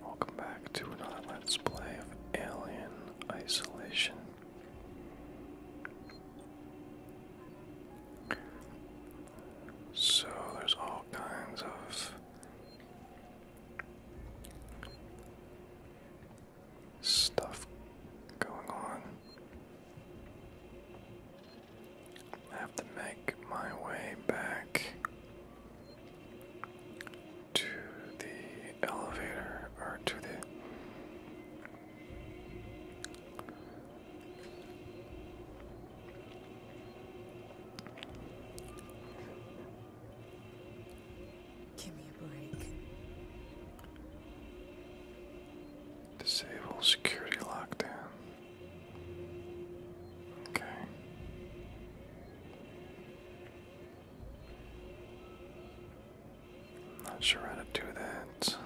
Welcome back to another let of Alien Isolation. So there's all kinds of stuff going on. I have to make my way back to the elevator or to the Give me a break. Disable security lockdown. Okay. I'm not sure how to do that.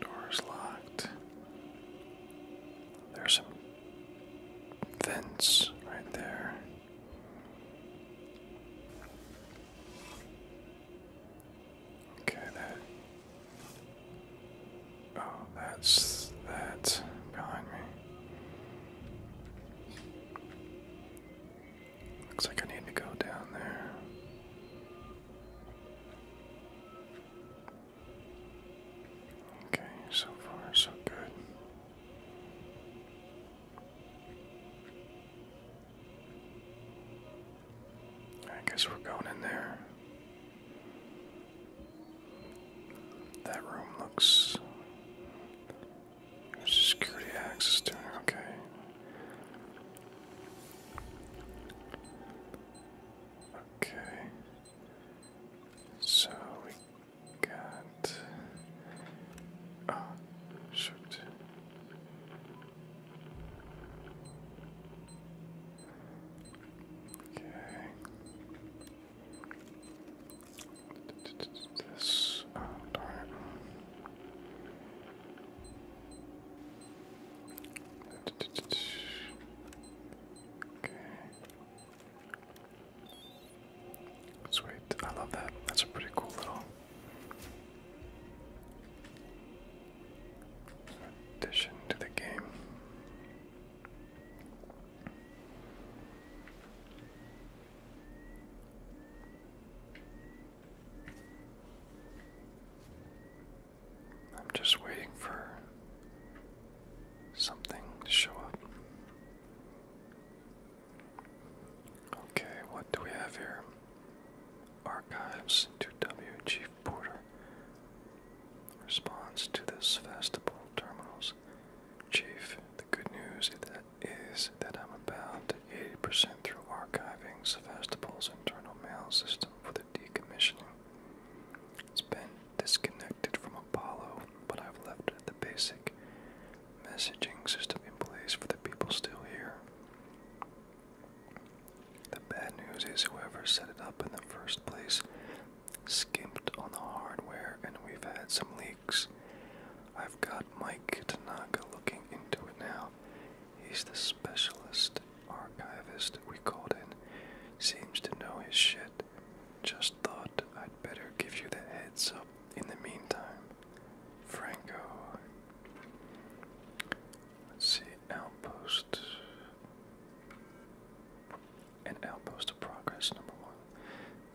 Door's locked. There's some vents right there. Okay, that. Oh, that's that behind me. Looks like I need to go down there. Okay, so far so good. I guess we're going in there. That room looks. security access to okay. Okay. So we got. Oh, shoot. Okay. This. Okay. Sweet. I love that. That's a pretty cool little addition to the game. I'm just waiting for something to show up. Okay, what do we have here? Archives to W. Chief Porter. Response to this festival terminals. Chief, the good news is that, is that I'm about 80% through archiving Sevastopol's internal mail system for the decommissioning. It's been disconnected from Apollo, but I've left the basic messaging system in place for the people still here. The bad news is whoever set it up in the first place skimped on the hardware and we've had some leaks. I've got Mike Tanaka looking into it now. He's the specialist archivist we called in. Seems to know his shit. Just thought I'd better give you the heads up in the meantime. Franco Let's see, outpost. An outpost of progress, number one.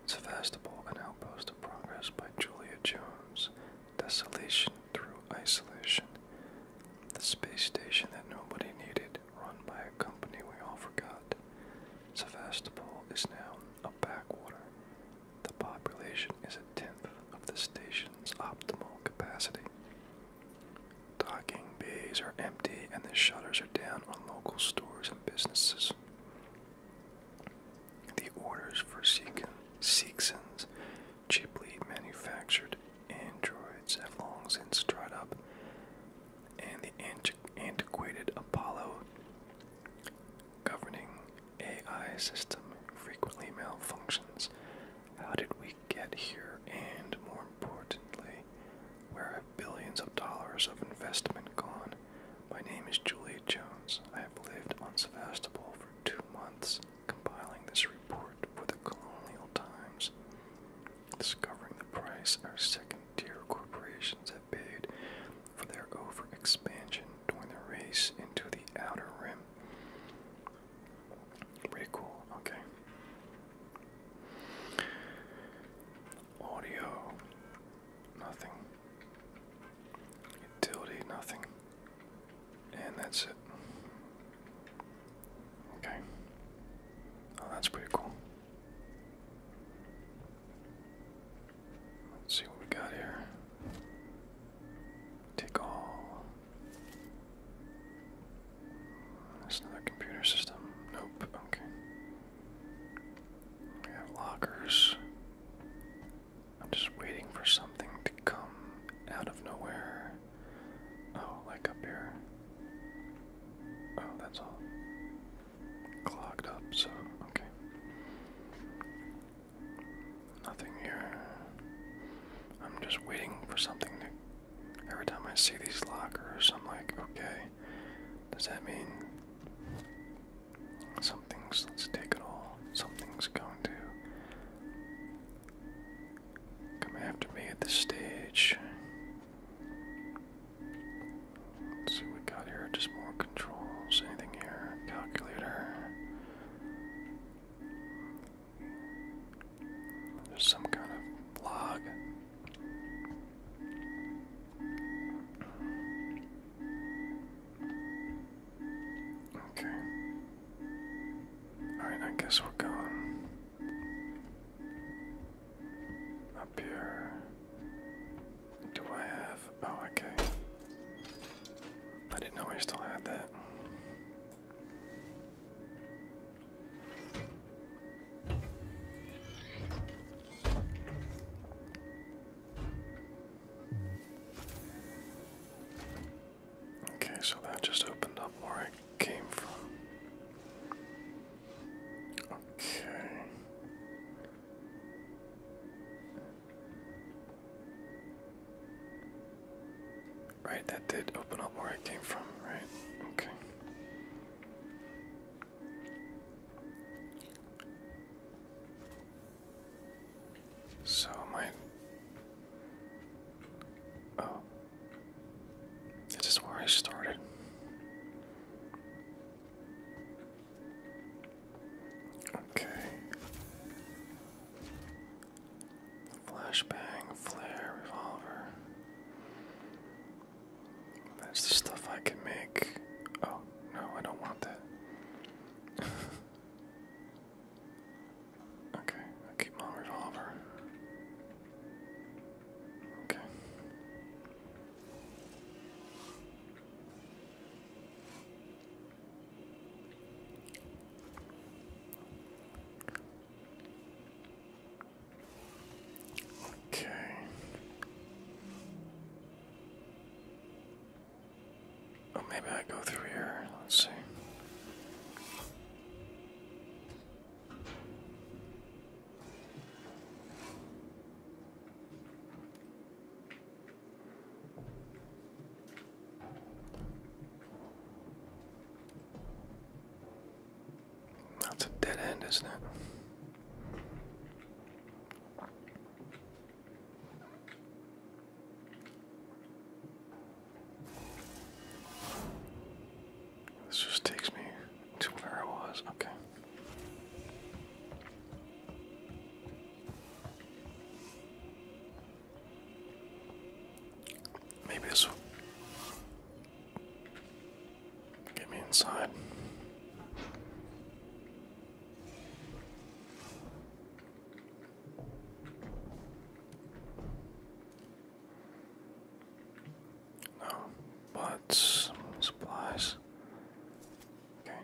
Sevastopol, an outpost of progress by Julia Jones. Desolation through isolation. The space station that nobody needed, run by a company we all forgot. Sevastopol is now a backwater. The population is a tenth of the station's optimal capacity. Docking bays are empty and the shutters are down on local stores and businesses. The orders for Seekson's cheaply manufactured androids have long since dried up, and the antiquated Apollo governing AI system frequently malfunctions how did we get here? And more importantly, where have billions of dollars of investment gone? My name is Juliet Jones. I have lived on Sevastopol for two months, compiling this report for the Colonial Times, discovering the price our second tier corporations have paid for their over expansion during the race into the outer rim. Pretty cool, okay. Audio, nothing. Utility, nothing. And that's it. Okay. Oh, that's pretty cool. Let's see what we got here. Take all. There's another computer system. Nope. Okay. We have lockers. I'm just waiting for something to come out of nowhere. Oh, like up here. Oh, that's all. Clogged up, so okay. Nothing here. I'm just waiting for something to. Every time I see these lockers, I'm like, okay, does that mean something's. let Something's going to come after me at this stage. see we got here. Just more controls. Anything here? Calculator. There's some kind of log. Okay. Alright, I guess we're going up here. Do I have. Oh, okay. I didn't know I still had that. Okay, so that just opened up where I came from. Okay. Right, that did open up where I came from, right? Okay. So my Oh. This is where I started. Okay. Flashbang, flare, revolver. That's the stuff I can make. Oh, no, I don't want that. okay, I keep my revolver. Okay. Okay. Oh, maybe I go through here. Let's see. That's a dead end, isn't it? This just takes me to where I was. Okay. Maybe this will get me inside. No, but supplies. Okay.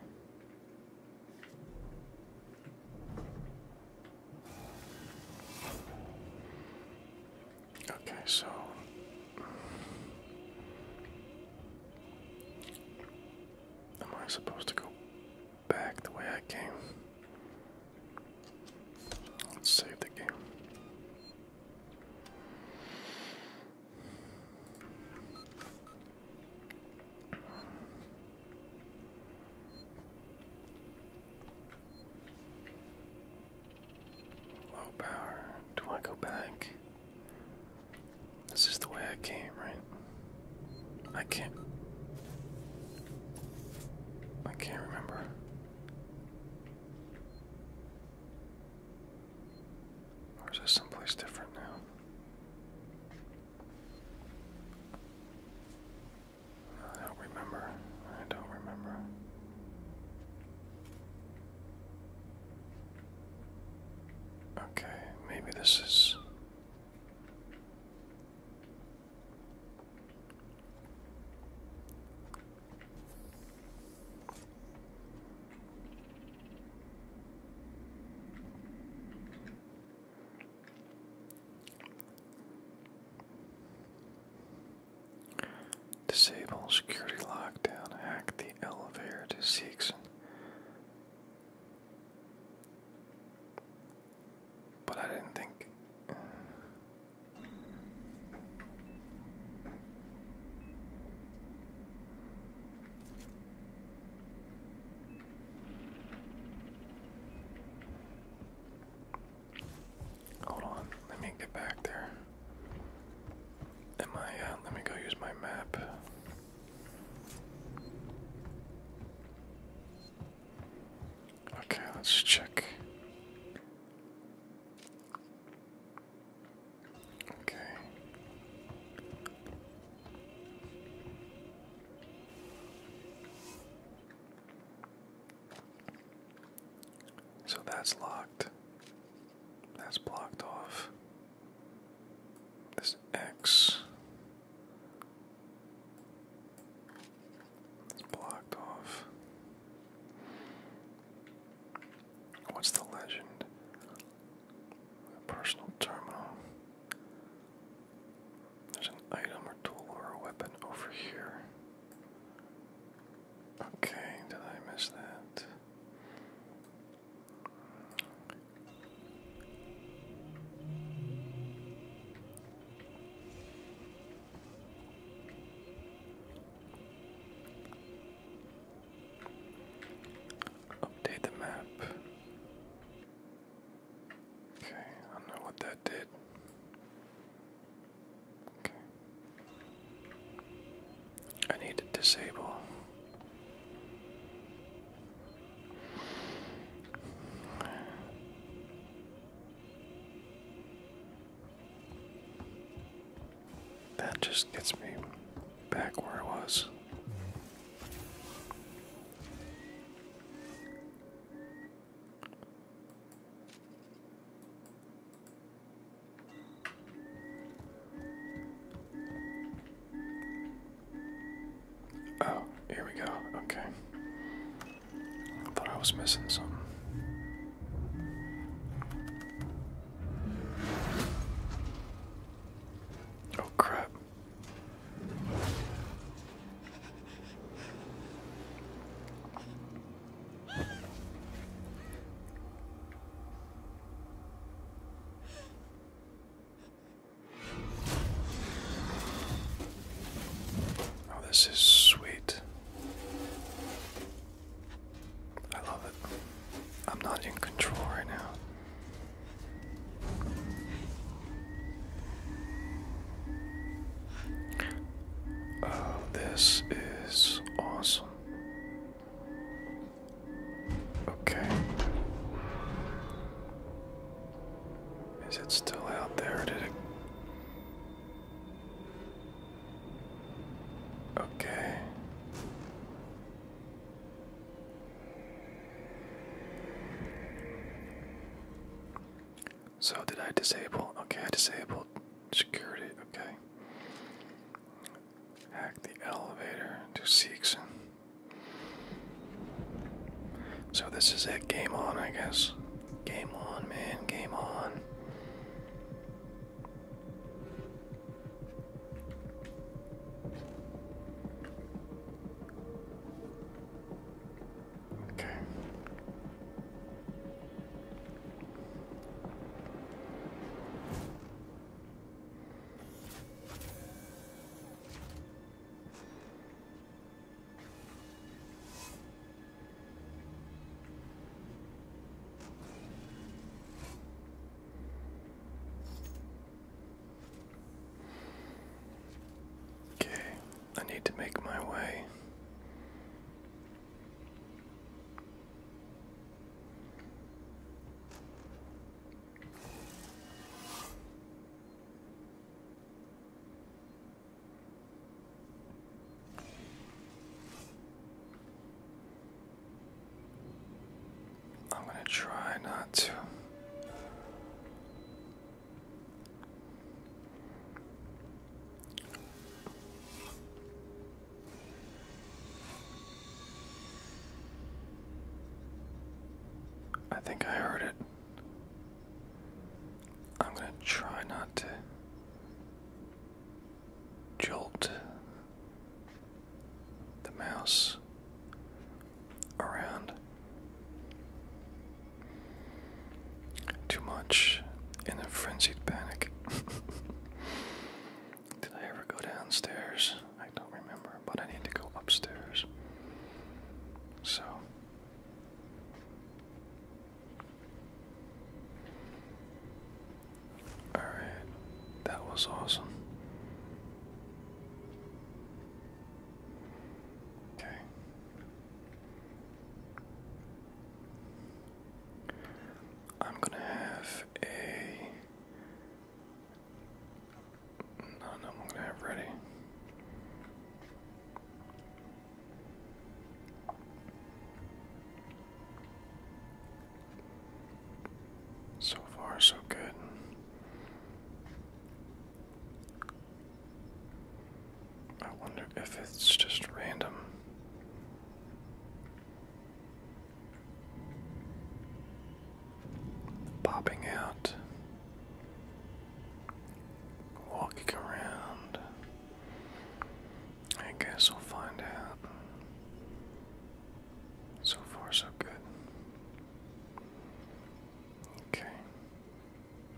Okay, so am I supposed to go back the way I came? Let's save the game. Low power. Do I go back? This is the way I came, right? I can't. I can't remember. Or is this someplace different now? I don't remember. I don't remember. Okay, maybe this is. Disable security lockdown. Hack the elevator to six. But I didn't think. Hold on, let me get back there. Am I? Uh, let me go use my map. Okay, let's check. Okay. So that's locked. That's blocked off. This X is blocked off. What's the legend? Personal terminal. There's an item or tool or a weapon over here. Okay, did I miss that? Update the map. Okay, I don't know what that did. I need to disable. That just gets me back where I was. Oh, here we go. Okay. I thought I was missing something. Oh, crap. Oh, this is sweet. I love it. I'm not in control right now. Oh, this is awesome. Okay. Is it still out there? Did it? Okay. So, did I disable? Okay, I disabled Security, okay. Hack the elevator to Seekson. So this is it. Game on, I guess. Game on, man. Game on. Okay. Okay, I need to make my way I'm going to try not to I think I heard it. I'm going to try not to jolt the mouse around. Too much in a frenzied panic. Did I ever go downstairs? I don't remember, but I need to go upstairs. So. Alright, that was awesome. Okay. I'm gonna have a. No, no, I'm gonna have ready. So far, so good. I wonder if it's just random. Popping out, walking around. I guess we'll find out. So far, so good. Okay,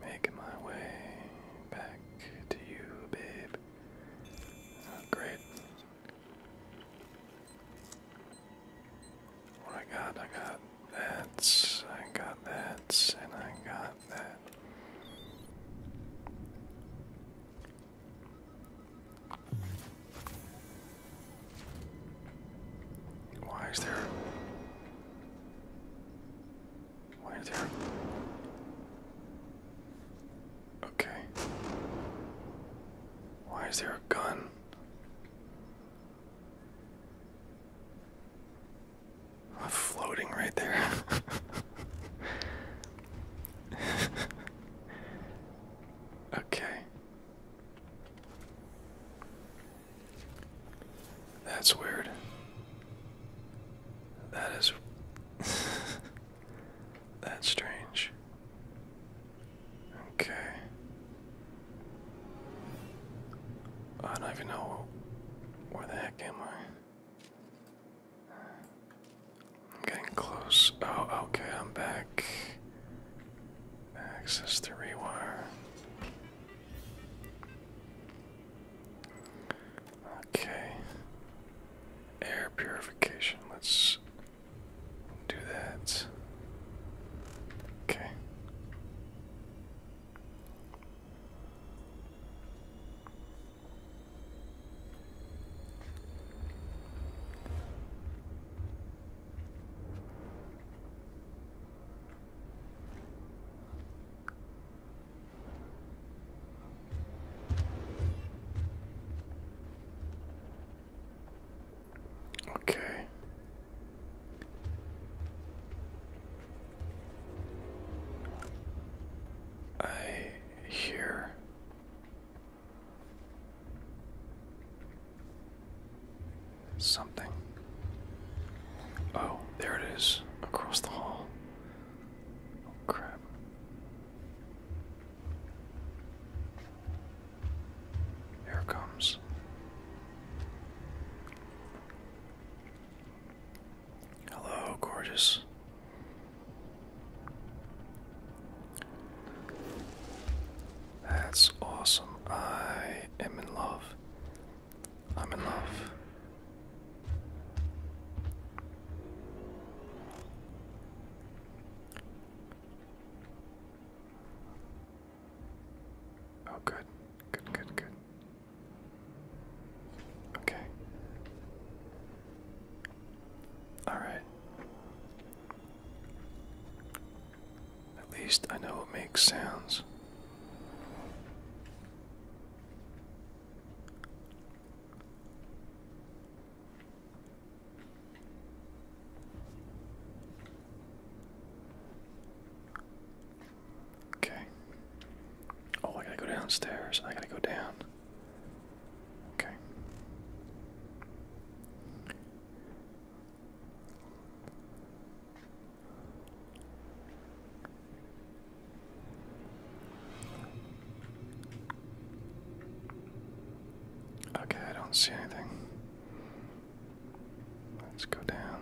making my way back to you, babe. Oh, great. I got, I got that, I got that, and I got that. Why is there why is there? Okay. Why is there a gun? floating right there. okay. That's weird. That is. That's strange. Okay. I don't even know where the heck am I. I'm getting close. Oh, okay, I'm back. Access the rewire. Okay. Air purification. Let's do that. Okay. Okay. I hear something. Oh, there it is across the hall. Oh crap. Here comes. Hello, gorgeous. That's awesome. I am in love. I'm in love. Oh, good. Good, good, good. Okay. All right. At least I know it makes sounds. Okay. Oh, I gotta go downstairs. I gotta go down. Okay. Okay, I don't see anything. Let's go down.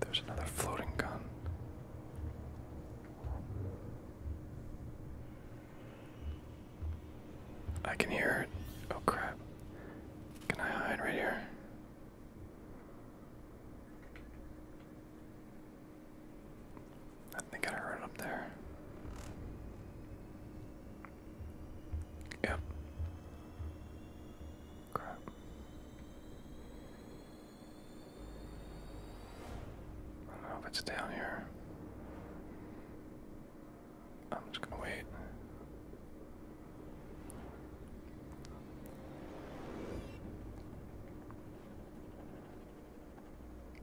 There's another floating gun. I can hear it. Oh crap. Can I hide right here? I think I heard up there. Yep. Crap. I don't know if it's down here. I'm just gonna wait.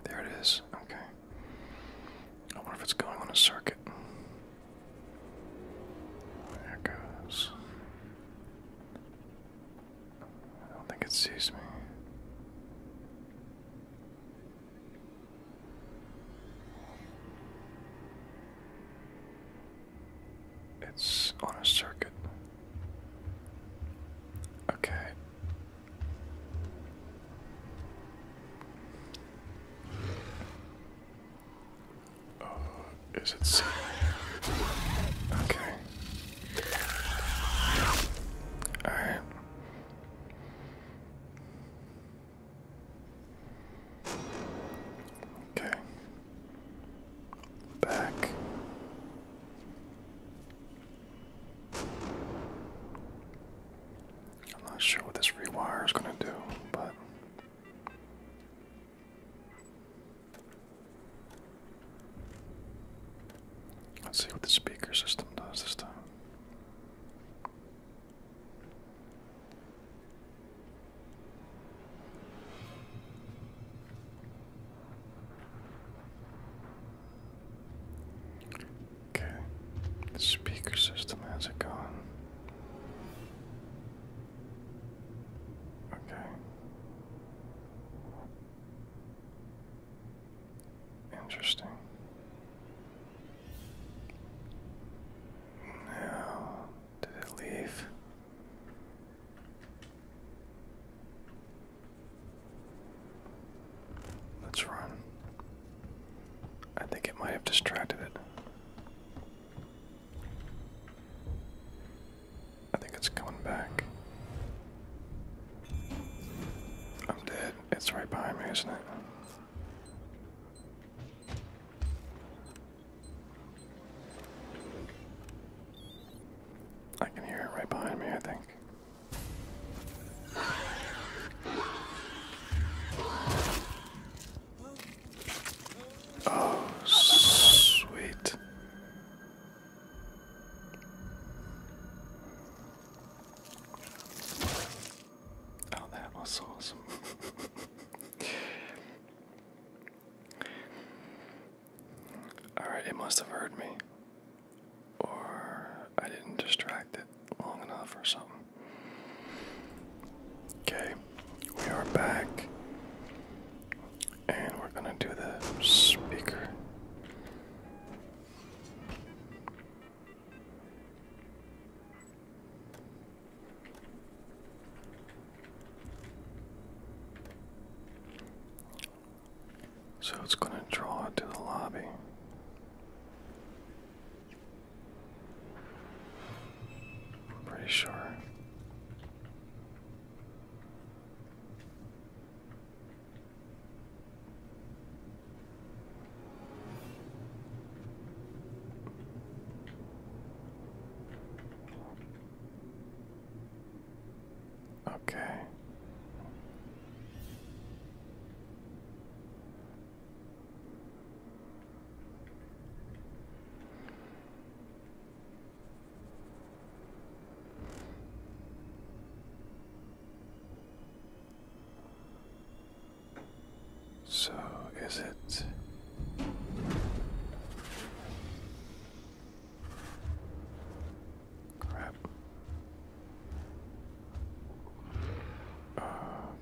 There it is. Okay. I wonder if it's going on a circuit. There it goes. I don't think it sees me. It's on a circuit. Okay. Uh, is it safe? Okay. Alright. Okay. Back. I'm not sure what this rewire is going to do, but. Let's see what the speaker system does this time. Okay, the speaker system has it gone. Okay. Interesting. Now, did it leave? Let's run. I think it might have distracted it. I think it's coming back. I'm dead. It's right behind me, isn't it? I can hear it right behind me, I think. Oh, sweet. Oh, that was awesome. Alright, it must have heard me. Or I didn't distract it long enough or something. Okay, we are back. And we're gonna do the speaker. So it's going to draw to the lobby. I'm pretty sure. Okay. So is it Crap.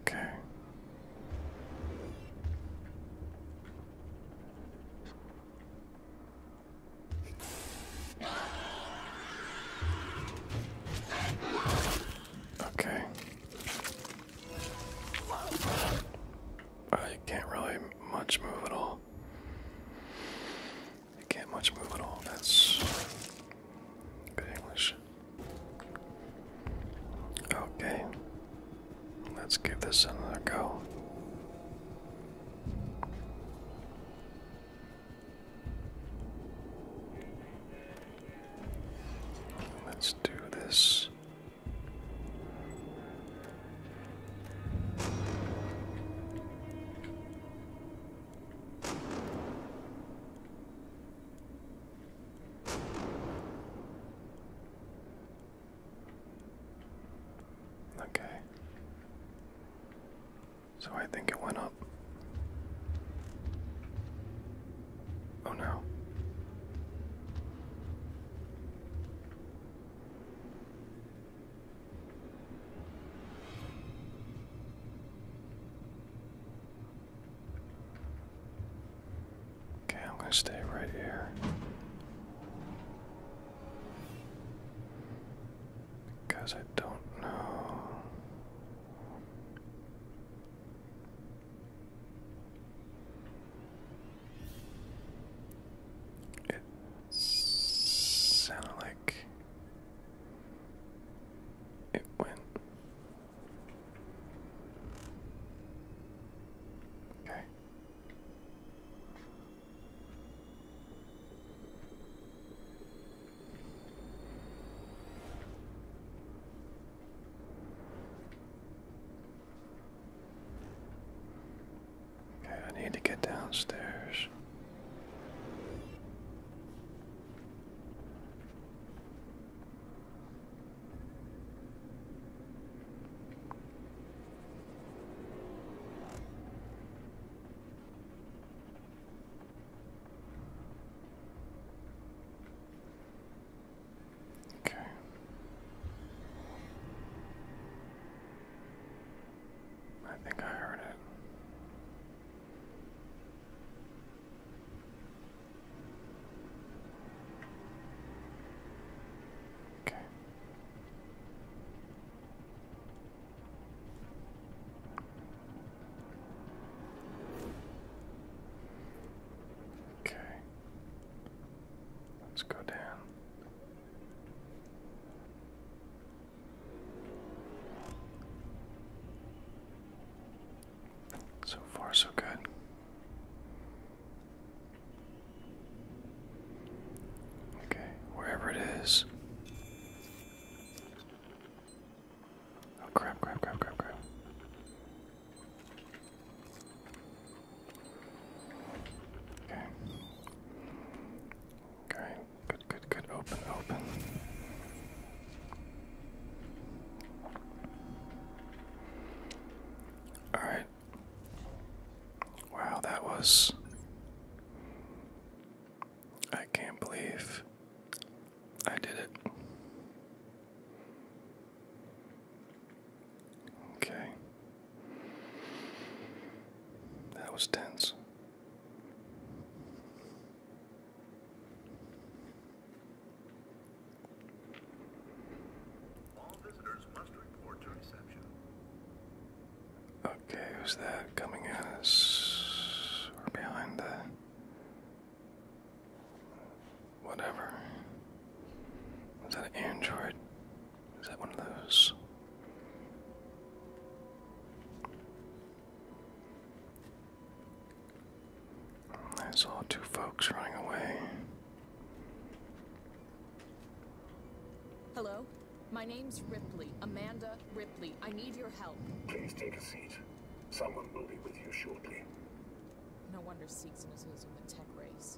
Okay. Okay. I can't really much move at all. I can't much move at all. That's good English. Okay, let's give this another go. Let's do this. Okay. So I think it went up. Oh no. Okay, I'm going to stay right here. Because I don't know sounded like it went. Okay. Okay, I need to get downstairs. Okay. I think I heard it. Okay. Okay. Let's go down. So far, so good. Okay, wherever it is. Oh, crap, crap, crap, crap, crap. Okay. Okay, Good, good, good. Open, open. Alright. Wow, that was. I can't believe I did it. Okay. That was tense. Okay, who's that coming at us? we behind the whatever. Is that an android? Is that one of those? I saw two folks running away. Hello? My name's Ripley. Amanda Ripley. I need your help. Please take a seat. Someone will be with you shortly. No wonder Seekson is losing the tech race.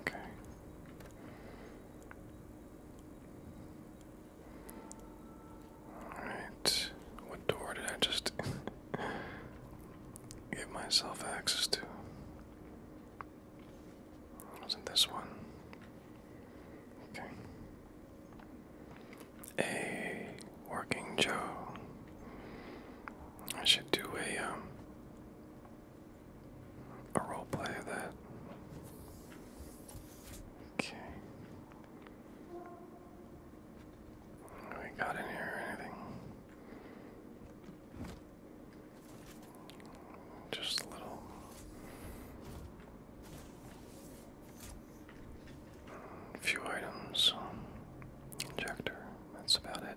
Okay. Alright. What door did I just give myself access to? Wasn't this one? Okay. A working Joe. I should do a um a roleplay of that. Okay. we got in here or anything? Just a little. few items. Injector. That's about it.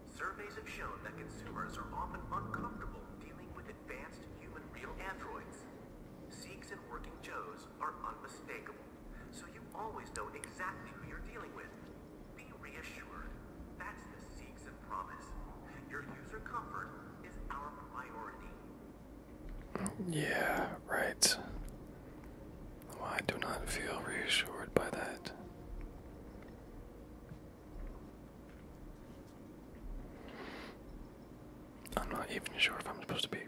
Surveys have shown that consumers are often uncomfortable dealing with advanced human real androids. Sikhs and working Joes are unmistakable, so you always know exactly who you're dealing with. Be reassured. That's the Sikhs and promise. Your user comfort is our priority. Yeah, right. I do not feel reassured by that. I'm not even sure if I'm supposed to be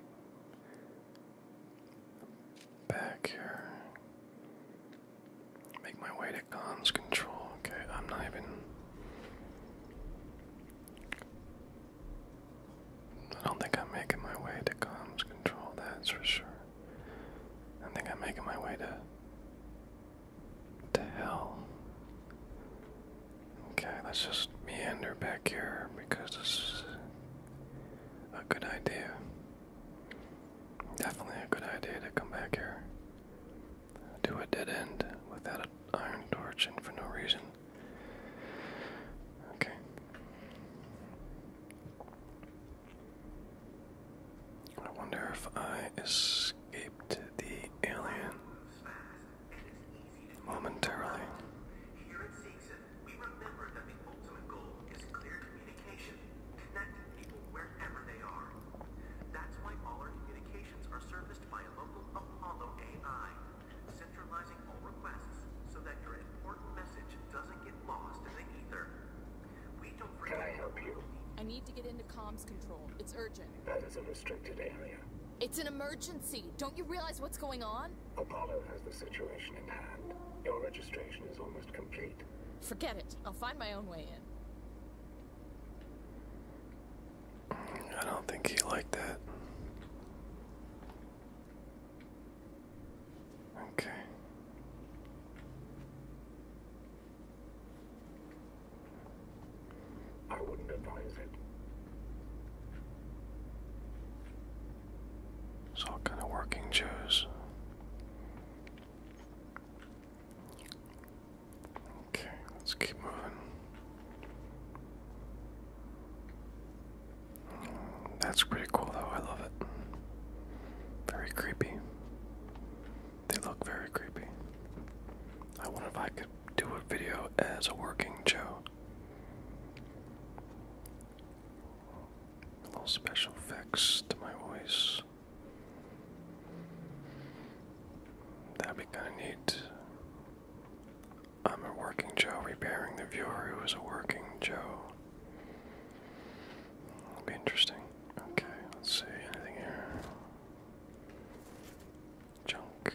back here. Make my way to comms control. Okay, I'm not even. I don't think I'm making my way to comms control, that's for sure. I think I'm making my way to the hell? Okay, let's just meander back here because this is a good idea. Definitely a good idea to come back here. to a dead end without an iron torch and for no reason. Okay. I wonder if I escaped the alien momentarily. Here at Season, we remember that the ultimate goal is clear communication, connecting people wherever they are. That's why all our communications are serviced by a local Apollo AI, centralizing all requests so that your important message doesn't get lost in the ether. Can I help you? I need to get into comms control. It's urgent. That is a restricted area. It's an emergency. Don't you realize what's going on? Apollo has the situation in hand. Your registration is almost complete. Forget it. I'll find my own way in. I don't think he liked that. Okay. I wouldn't advise it. It's all kind of working Jews. Okay, let's keep moving. That's pretty cool, though. I love it. Very creepy. They look very creepy. I wonder if I could do a video as a working Joe. A little special effects to my voice. That'd be kind of neat. I'm a working Joe repairing the viewer who is a working Joe. It'll be interesting. Okay, let's see. Anything here? Junk.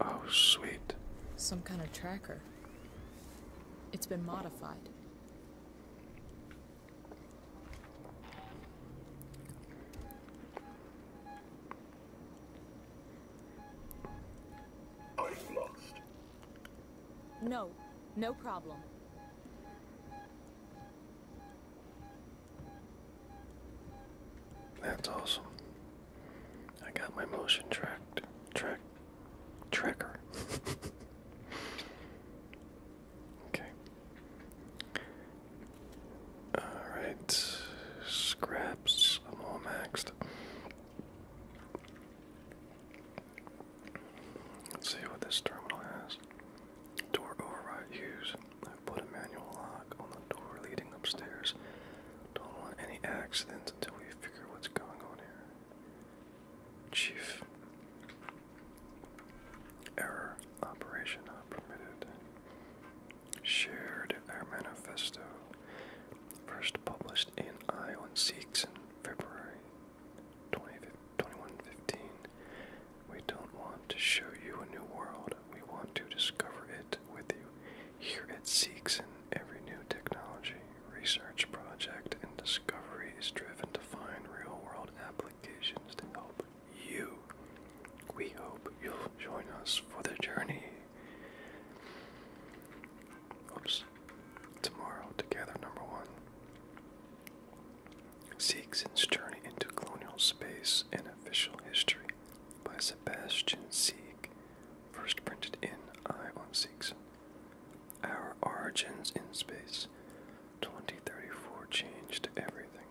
Oh, sweet. Some kind of tracker. It's been modified. i lost. No, no problem. That's awesome. I got my motion tracked track tracker. okay. Alright. Scraps. I'm all maxed. Let's see what this terminal has. Door override use. i put a manual lock on the door leading upstairs. Don't want any accidents until we figure what's going on here. Chief. Error. Operation not permitted. Shared our manifesto. First published in Iowan Seeks in February 2015. 2115. We don't want to show you a new world. We want to discover it with you. Here it seeks in every new technology, research project, and discovery is driven to find real world applications to help you. We hope you'll join us for the journey. Oops. Tomorrow, together, number one seeks journey into colonial space in official history by Sebastian Sieg, first printed in I on Siegs. Our origins in space. 2034 changed everything.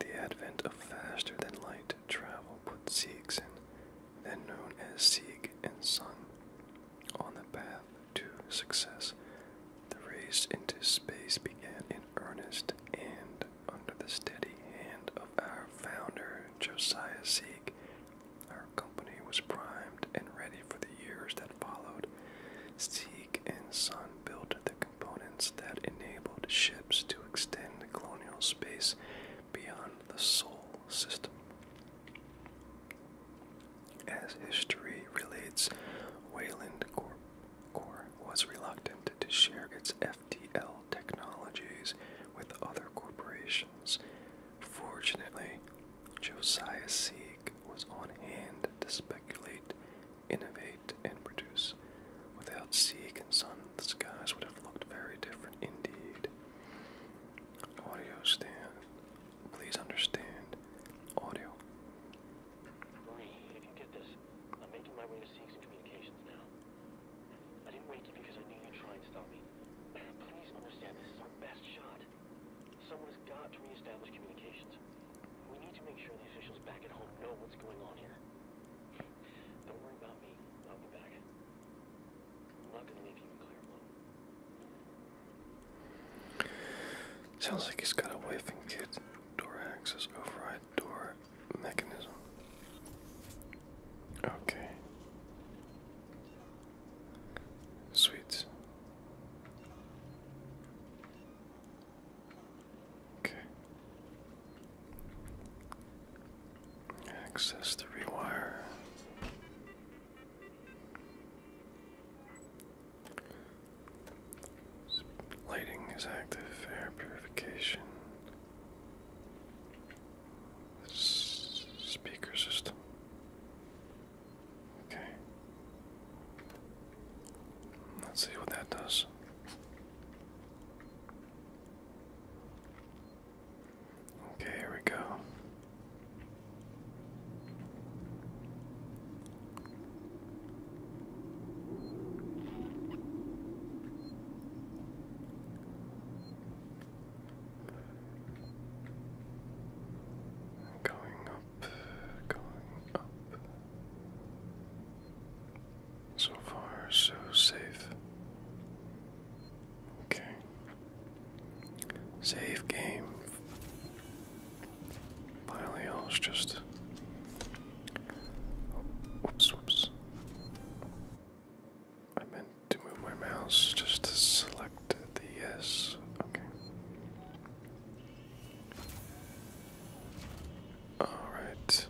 The advent of faster than light travel put Siegson, then known as Sieg and Son, on the path to success. The race into space began in earnest and under the steady hand of our founder, Josiah Sieg. Our company was primed and ready for the years that followed. Sieg and Son built the components that enabled ships to extend the colonial space beyond the Sol system. As history relates, Wayland Corp, was reluctant to share its FTL technologies with other corporations. Fortunately, Josiah Sieg was on hand to speculate, innovate, and produce. Without Sieg and Son, the skies would have looked very different indeed. Audio stand. Please understand. Audio Marie, if you get this, I'm making my way to Seeks Communications now. I didn't wake you because I knew you'd try and stop me. Please understand, this is our best shot. Someone has got to reestablish communications. We need to make sure the officials back at home know what's going on here. Don't worry about me. I'll be back. I'm not gonna leave you in Claire alone. Sounds like he's got a wife and Door access override door mechanism. Okay. Sweet. Okay. Access the rewire. Lighting is active, air purification. speaker system. Okay. Let's see what that does. Okay, here we go. Going up, going up. So far, so safe. Okay. Save game. Finally, I was just. Whoops, whoops. I meant to move my mouse just to select the yes. Okay. Alright.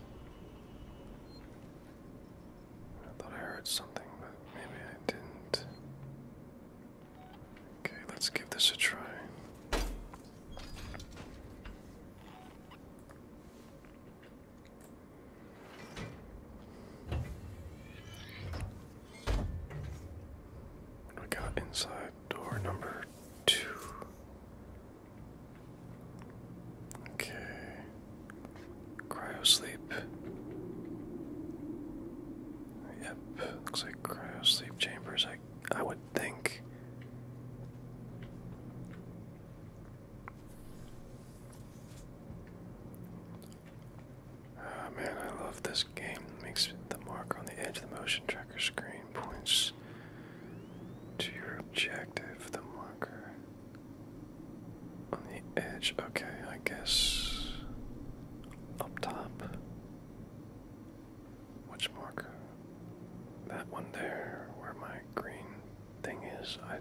I thought I heard something, but maybe I didn't. Okay, let's give this a try. We got inside door number two. Okay. Cryo sleep. Yep, looks like cryo sleep chambers, I I would think. Oh man, I love this game. makes the mark on the edge of the motion tracker screen points to your objective. The marker on the edge. Okay, I guess up top. Which mark? That one there, where my green thing is. I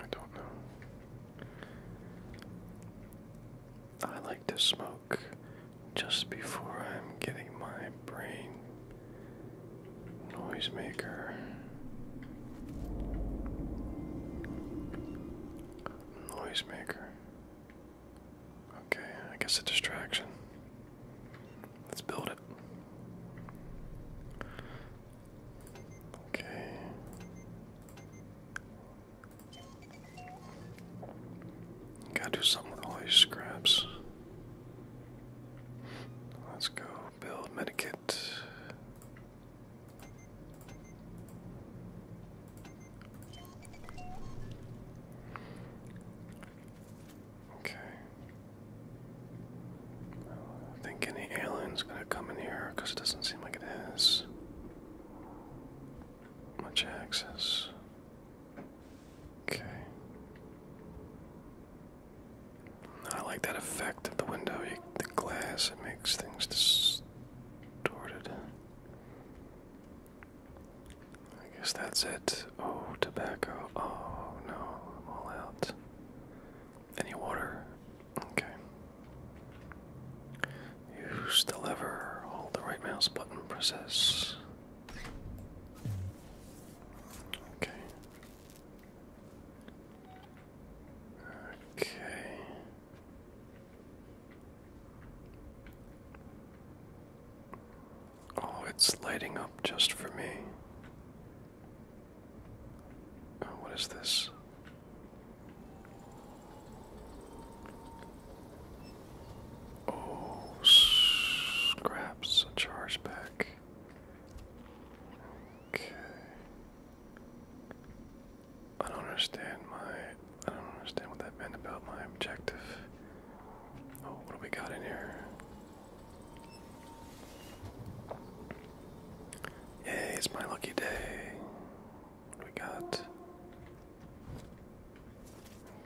I don't know. I like to smoke just before I'm getting my brain noisemaker. Noisemaker. Okay, I guess a distraction. Let's build it. Okay. Gotta do something with all these scraps. Let's go build medikit. Okay. I think any alien's gonna come in here because it doesn't seem like it much access. Okay. I like that effect of the window, the glass, it makes things distorted. I guess that's it. Oh, tobacco. Oh no, I'm all out. Any water? Okay. Use the lever. Hold the right mouse button. Process. Okay. Okay. Oh, it's lighting up just for me. Oh, what is this? Oh, scraps, charge back. Okay. I don't understand my. I don't understand what that meant about my objective. Oh, what do we got in here? Yay, it's my lucky day. What do we got?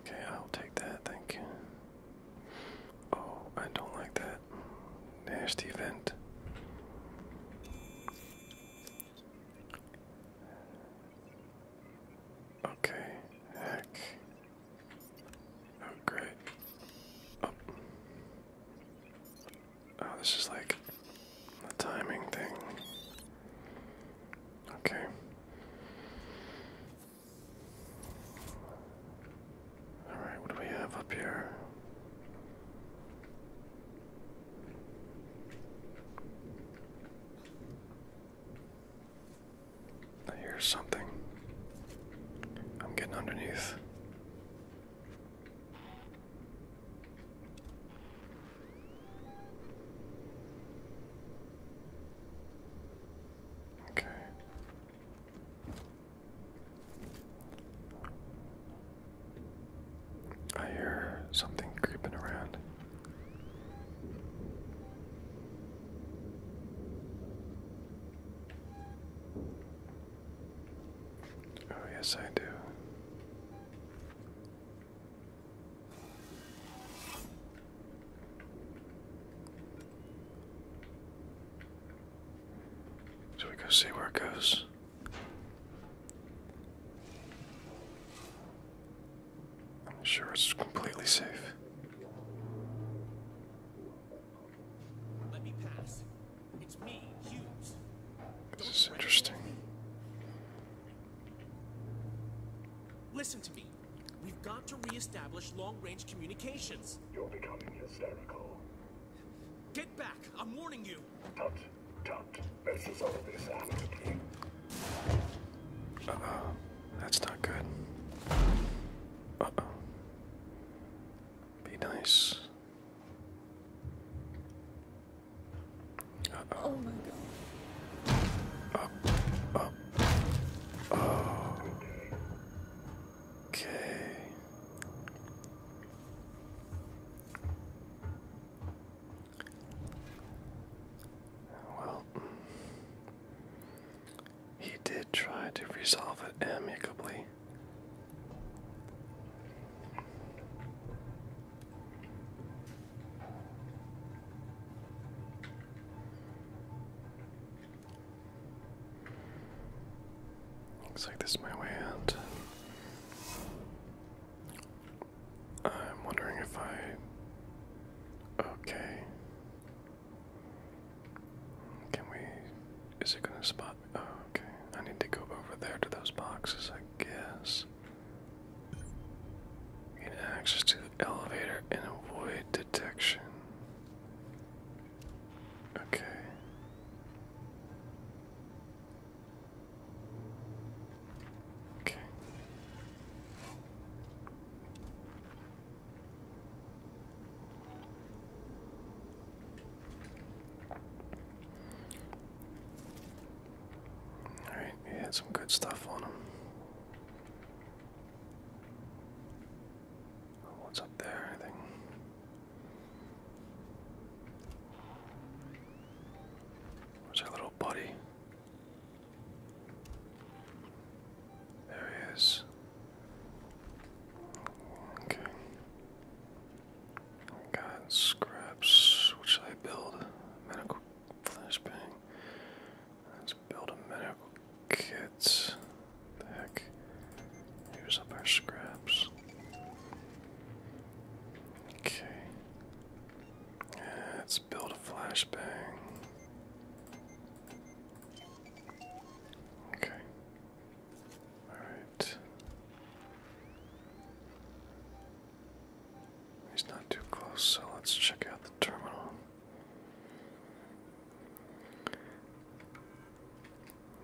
Okay, I'll take that, thank you. Oh, I don't like that. Nasty event. Okay, heck. Oh, great. Oh. oh, this is like the timing thing. Okay. Alright, what do we have up here? I hear something. I'm getting underneath. Okay. I hear something creeping around. Oh, yes, I do. So we go see where it goes. Sure, it's completely safe. It's interesting. Listen to me. We've got to re-establish long-range communications. You're becoming hysterical. Get back! I'm warning you. Tut, tut. This is all this amity. Uh-oh. That's not good. Uh-oh. Be nice. -oh. my god. Up, Oh. Okay. Well, mm. He did try to resolve it amicably. Looks like this is my way out. I'm wondering if I. Okay. Can we. Is it gonna spot me? Oh, okay. I need to go over there to those boxes, I guess. Gain access to the elevator and avoid detection. Okay. Okay. Alright, he had some good stuff on him. what's up there, I think. Where's our little buddy? There he is. Okay. got scraps. What should I build? Medical flashbang. Let's build a medical kit. heck. Here's up our scraps. Okay. let's build a flashbang. Okay. All right. He's not too close, so let's check out the terminal.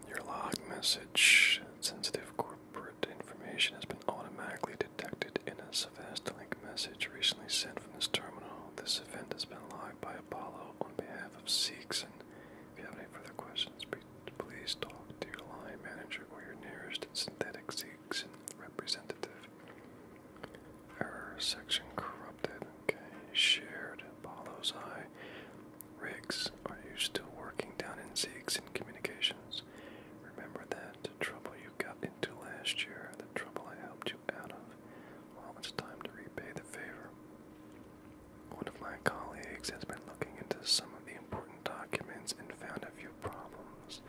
Your log message. Sensitive corporate information has been automatically detected in a Savastling message recently sent from this terminal. This event has been live by Apollo on behalf of Sikhs. And if you have any further questions, please talk to your line manager or your nearest synthetic Sikhs representative. Error section corrupted. Okay, shared. Apollo's eye. rigs. are you still working down in Zeeks in communications? Remember that the trouble you got into last year, the trouble I helped you out of how time to repay the favor. One of my colleagues has been looking into some of the important documents and found a few problems.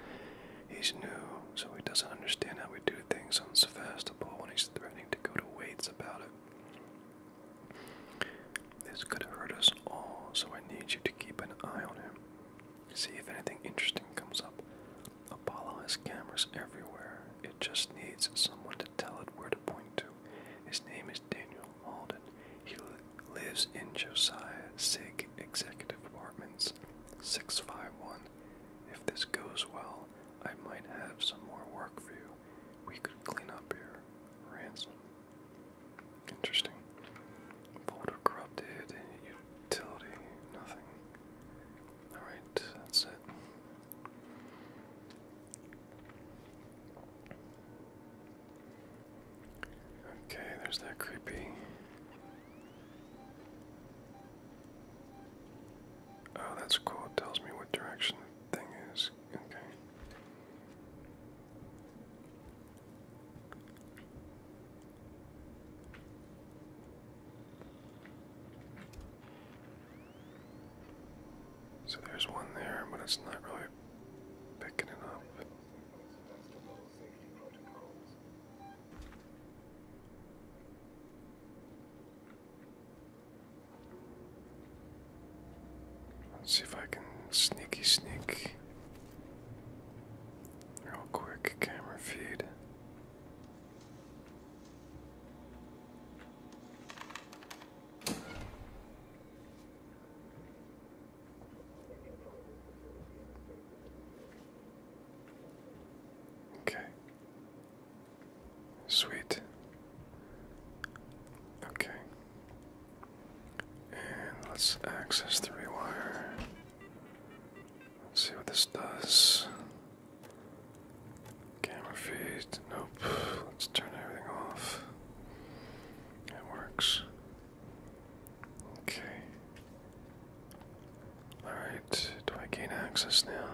He's new, so he doesn't understand how we do things on Sevastopol, when he's threatening to go to Waits about it. This could hurt us all, so I need you to keep an eye on him. See if anything interesting comes up. Apollo has cameras everywhere. It just needs someone to tell it where to point to. His name is Daniel Malden. He lives in Josiah Sig Executive Apartments, 651. If this goes well, I might have some more work for you. We could clean up your ransom. Interesting. Folder corrupted, utility, nothing. Alright, that's it. Okay, there's that creepy. Oh, that's cool. tells me what direction the thing is. Okay. So there's one there, but it's not really picking it up. Let's see if I can sneaky sneak real quick camera feed. Okay. Sweet. Okay. And let's access the rewire. see what this does. Camera feed, nope. Let's turn everything off. It works. Okay. Alright, do I gain access now?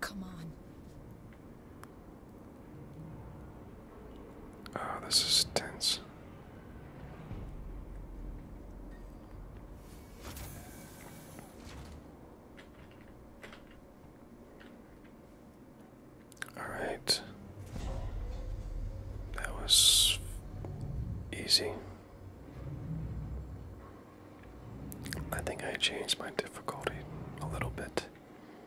Come on. Oh, this is tense. All right. That was easy. I think I changed my difficulty a little bit.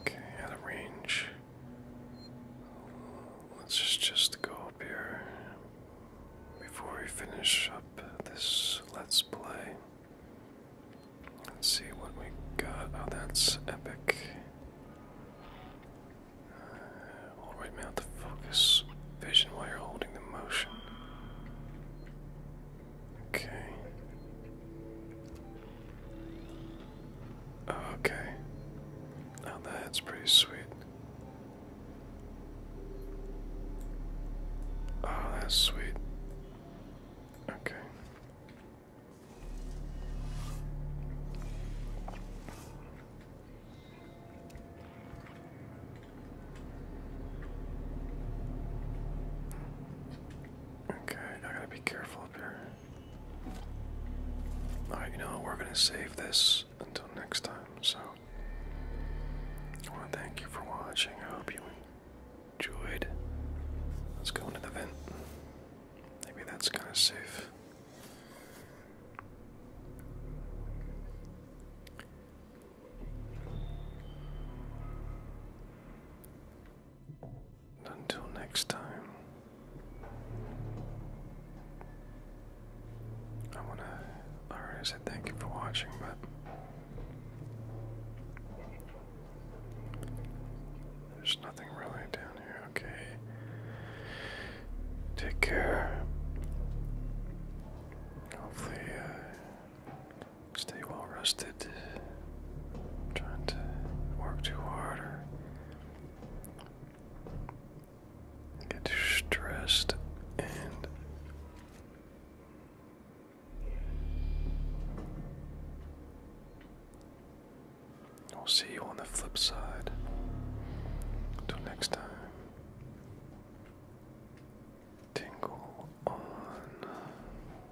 Okay, out of range. Let's just, just go up here before we finish up this let's play. Let's see what we got. Oh, that's epic. Uh, mount to focus vision while you're holding the motion. Okay. Oh, okay. that's pretty sweet. Oh, that's sweet. Okay. Okay, I gotta be careful up here. Alright, know, we're gonna save this until next time, so I wanna thank you for watching. I hope you enjoyed. Let's go into the vent. Maybe that's kinda safe until next time, I want to already say thank you for watching, but there's nothing really down here. Okay. Take care. Hopefully, uh, stay well rested trying to work too hard get too stressed and I'll see you on the flip side. Until next time. Tingle on.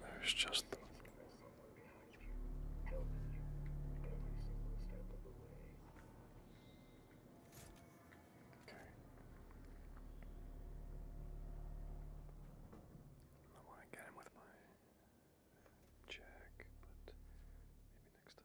There's just Okay. I want to get him with my check, but maybe next time.